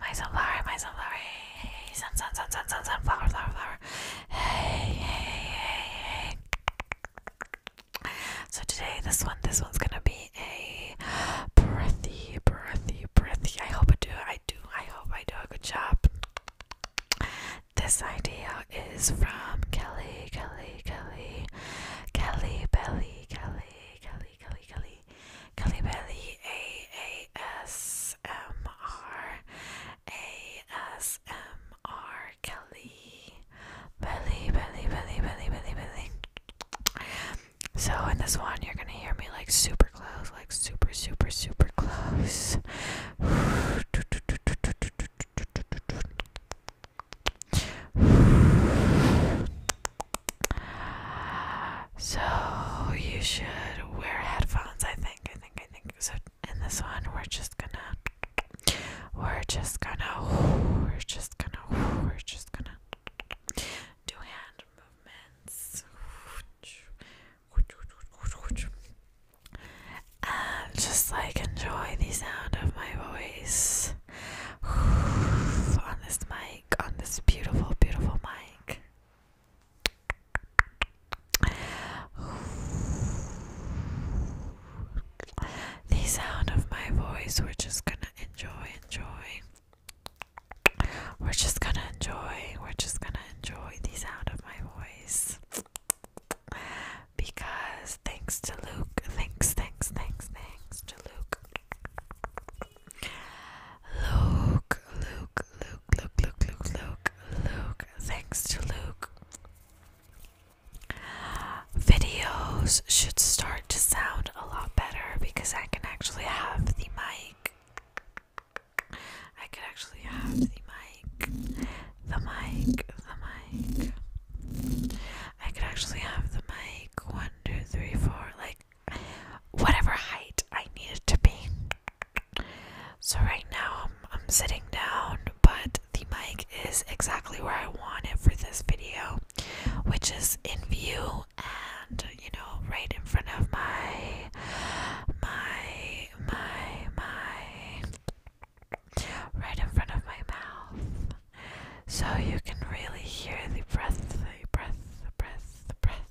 my sunflower, my sunflower, hey, hey, sun, sun, sun, sun, sun, sunflower, flower, flower, hey, hey, hey, hey. So today, this one, this one's gonna be a breathy, breathy, breathy. I hope I do, I do, I hope I do a good job. This idea is from Kelly, Kelly, Kelly, Kelly Belly, Kelly, Kelly, Kelly, Kelly, Calibelli, Belly A A S M R, A S M R, Kelly, Belly, Belly, Belly, Belly, Belly, Belly. So in this one, you're gonna hear me like super close, like super, super, super close. So you should wear headphones, I think. I think I think so in this one we're just gonna we're just gonna we're just gonna we're just gonna do hand movements and just like enjoy the sound of my voice on this mic on this beautiful beautiful mic the sound of my voice, we're just gonna enjoy, enjoy. We're just gonna enjoy, we're just gonna enjoy the sound of my voice. Because thanks to Luke, thanks, thanks, thanks, thanks to Luke. Luke, Luke, Luke, Luke, Luke, Luke, Luke, Thanks to Luke. Videos should start to sound a lot better because I can actually have the mic. I can actually have the mic. The mic, the mic. I could actually have the mic. One, two, three, four. Like, whatever height I needed to be. So right now I'm, I'm sitting down, but the mic is exactly where I want it for this video, which is in view and you know right in front of my my my my right in front of my mouth. So you can really hear the breath, the breath, the breath, the breath,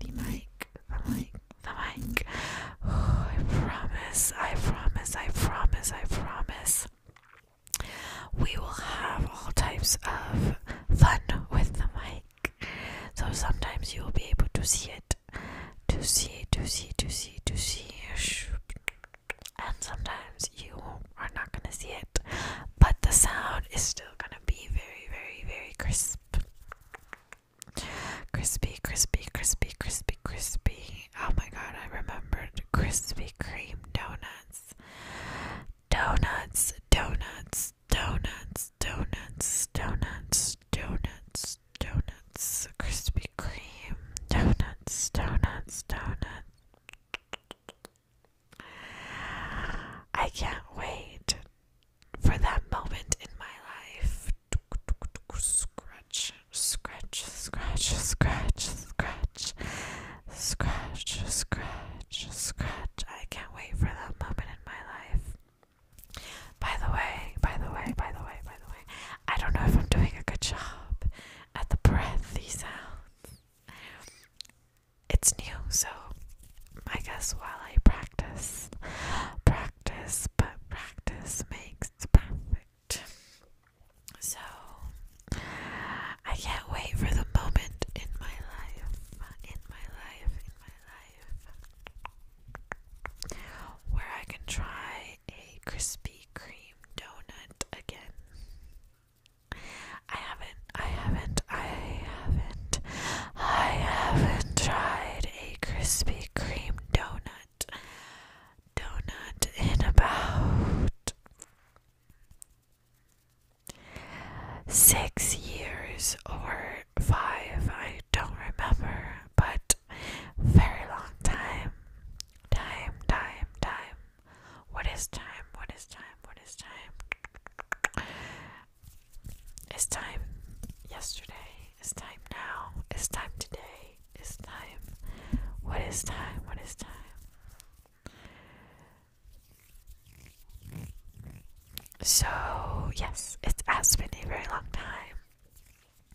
the mic, the mic, the mic. Oh, I promise, I promise, I promise, I promise. We will have all types of fun with the mic. So sometimes you will be able to see it, to see, to see, to see, to see. And sometimes you are not going to see it, but the sound is still going to be very, very, very crisp. Crispy, crispy, crispy, crispy, crispy. Oh my god, I remembered Krispy Kreme donuts. Donuts, donuts, donuts, donuts, donuts, donuts, donuts, Krispy Kreme, donuts, donuts, donuts. I can't wait for that moment in my life. Scratch, scratch, scratch, scratch, scratch, scratch, scratch, scratch. I can't wait for that moment in my life. By the way, by the way, by the way, by the way, I don't know if I'm doing a good job at the breath these sounds. It's new, so I guess while I practice, practice practice, but practice makes perfect. So, I can't wait for the moment in my life, in my life, in my life, where I can try a Krispy Kreme donut again. I haven't, I haven't, I haven't I haven't tried a Krispy Kreme donut donut in about six years or five. I don't remember, but very long time. Time, time, time. What is time? What is time? What is time? It's time yesterday, it's time now, it's time today, it's time. What is time? What is time? So, yes, it has been a very long time.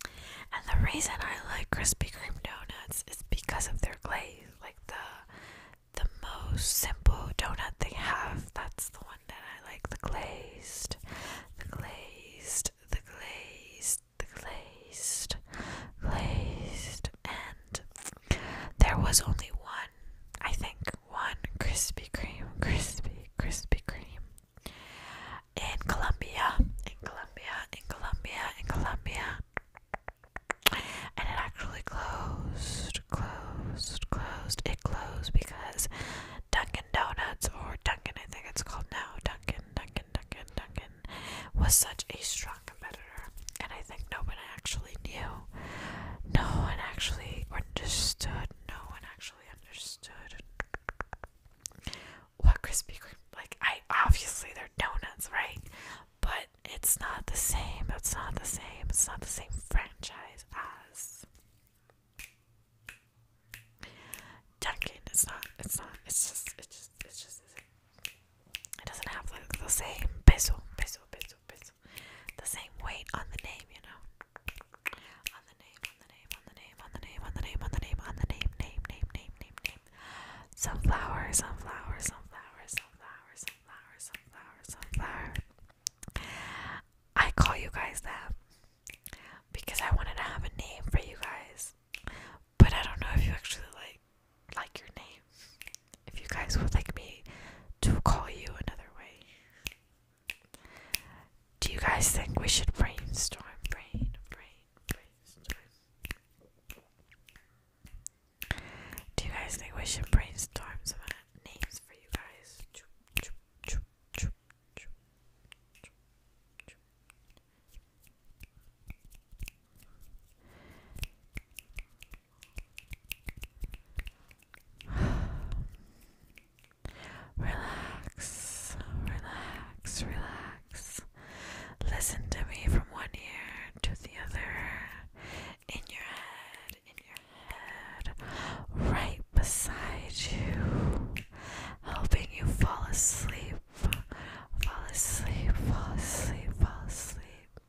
And the reason I like Krispy Kreme donuts is because of their glaze. Like the the most simple donut they have, that's the one and I like the glazed, the glazed, the glazed, the glazed, glazed, and there was only one, I think, one Krispy Kreme, Krispy, Krispy Kreme in Colombia, in Colombia, in Colombia, in Colombia. And it actually closed, closed, closed. It closed because Dunkin' Donuts, or Dunkin', I think it's called now, Dunkin', Dunkin', Dunkin', Dunkin', was such a strong competitor, and I think no one actually knew. No one actually understood. No one actually understood what Krispy Kreme. Like, I obviously they're donuts, right? But it's not the same. It's not the same. It's not the same franchise as Dunkin', it's not, it's not, it's just, it's just, it's just, it doesn't have like the same peso, peso, peso, peso, the same weight on the name, you know, on the name, on the name, on the name, on the name, on the name, on the name, on the name, name, name, name, name, name, sunflower, sunflower, sunflower, sunflower, sunflower, sunflower, sunflower. I call you guys that because I wanted to have a name for you guys. But I don't know if you actually like like your name. If you guys would like me to call you another way. Do you guys think we should brainstorm? brainstorm. Do you guys think we should brainstorm some names for you guys? relax, relax, relax. Listen to me from one ear to the other. In your head, in your head right beside you, helping you fall asleep, fall asleep, fall asleep, fall asleep.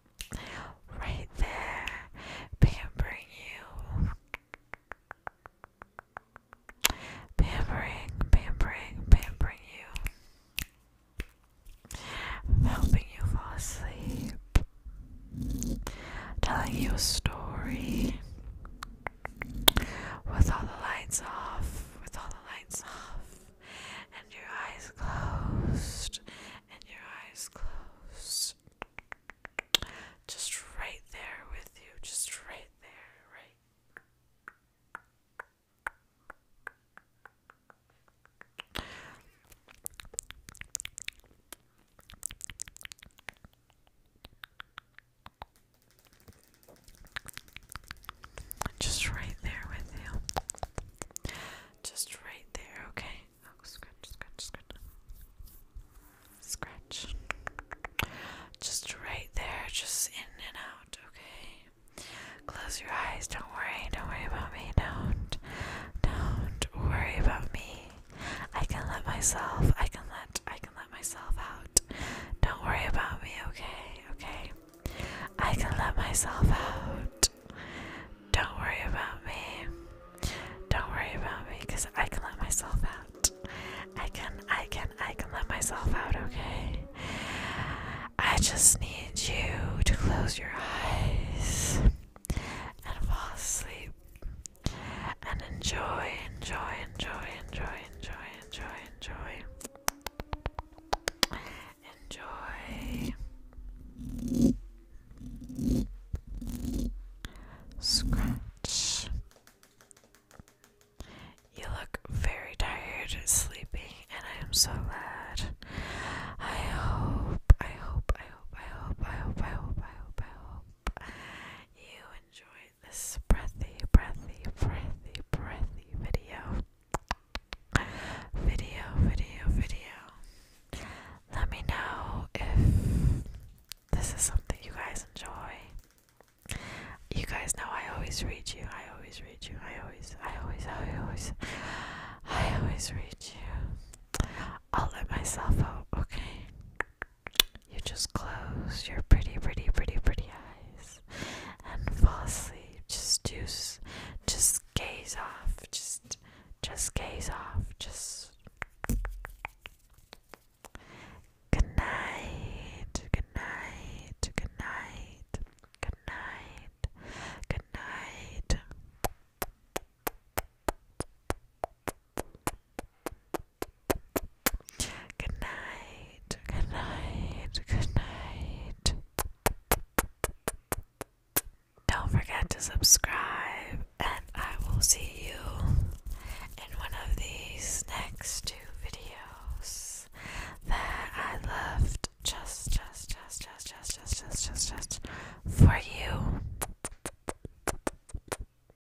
Right there, pampering you. Pampering, pampering, pampering you. Helping you fall asleep. Telling you a story. With all the lights off, with all the lights off, and your eyes closed, and your eyes closed. Just right there with you, just right there, right. Just right there with you. Just right there, okay? Oh, scratch, scratch, scratch. Scratch. Just right there, just in and out, okay? Close your eyes, don't worry, don't worry about me, don't. Don't worry about me. I can let myself, I can let, I can let myself out. Don't worry about me, okay? Okay. I can let myself out. Don't worry about me. Don't worry about me because I can let myself out. I can, I can, I can let myself out, okay? I just need you to close your eyes and fall asleep and enjoy, enjoy, enjoy, enjoy, enjoy, enjoy, enjoy, enjoy. Scratch. You look very tired, sleepy, and I am so glad. I hope, I hope, I hope, I hope, I hope, I hope, I hope, I hope you enjoy this breathy, breathy, breathy, breathy video. Video, video, video. Let me know if this is something you guys enjoy. You guys know I always read you. I always read you. I always, I always, I always, I always read you. I'll let myself out, okay? You just close your pretty, pretty, pretty, pretty eyes and fall asleep. Just do, just gaze off. Just, just gaze off. Just. Good night. Good night. Good night. Good night. Good night. Good night, good night, good night. Don't forget to subscribe, and I will see you in one of these next two videos that I left just, just, just, just, just, just, just, just, just for you.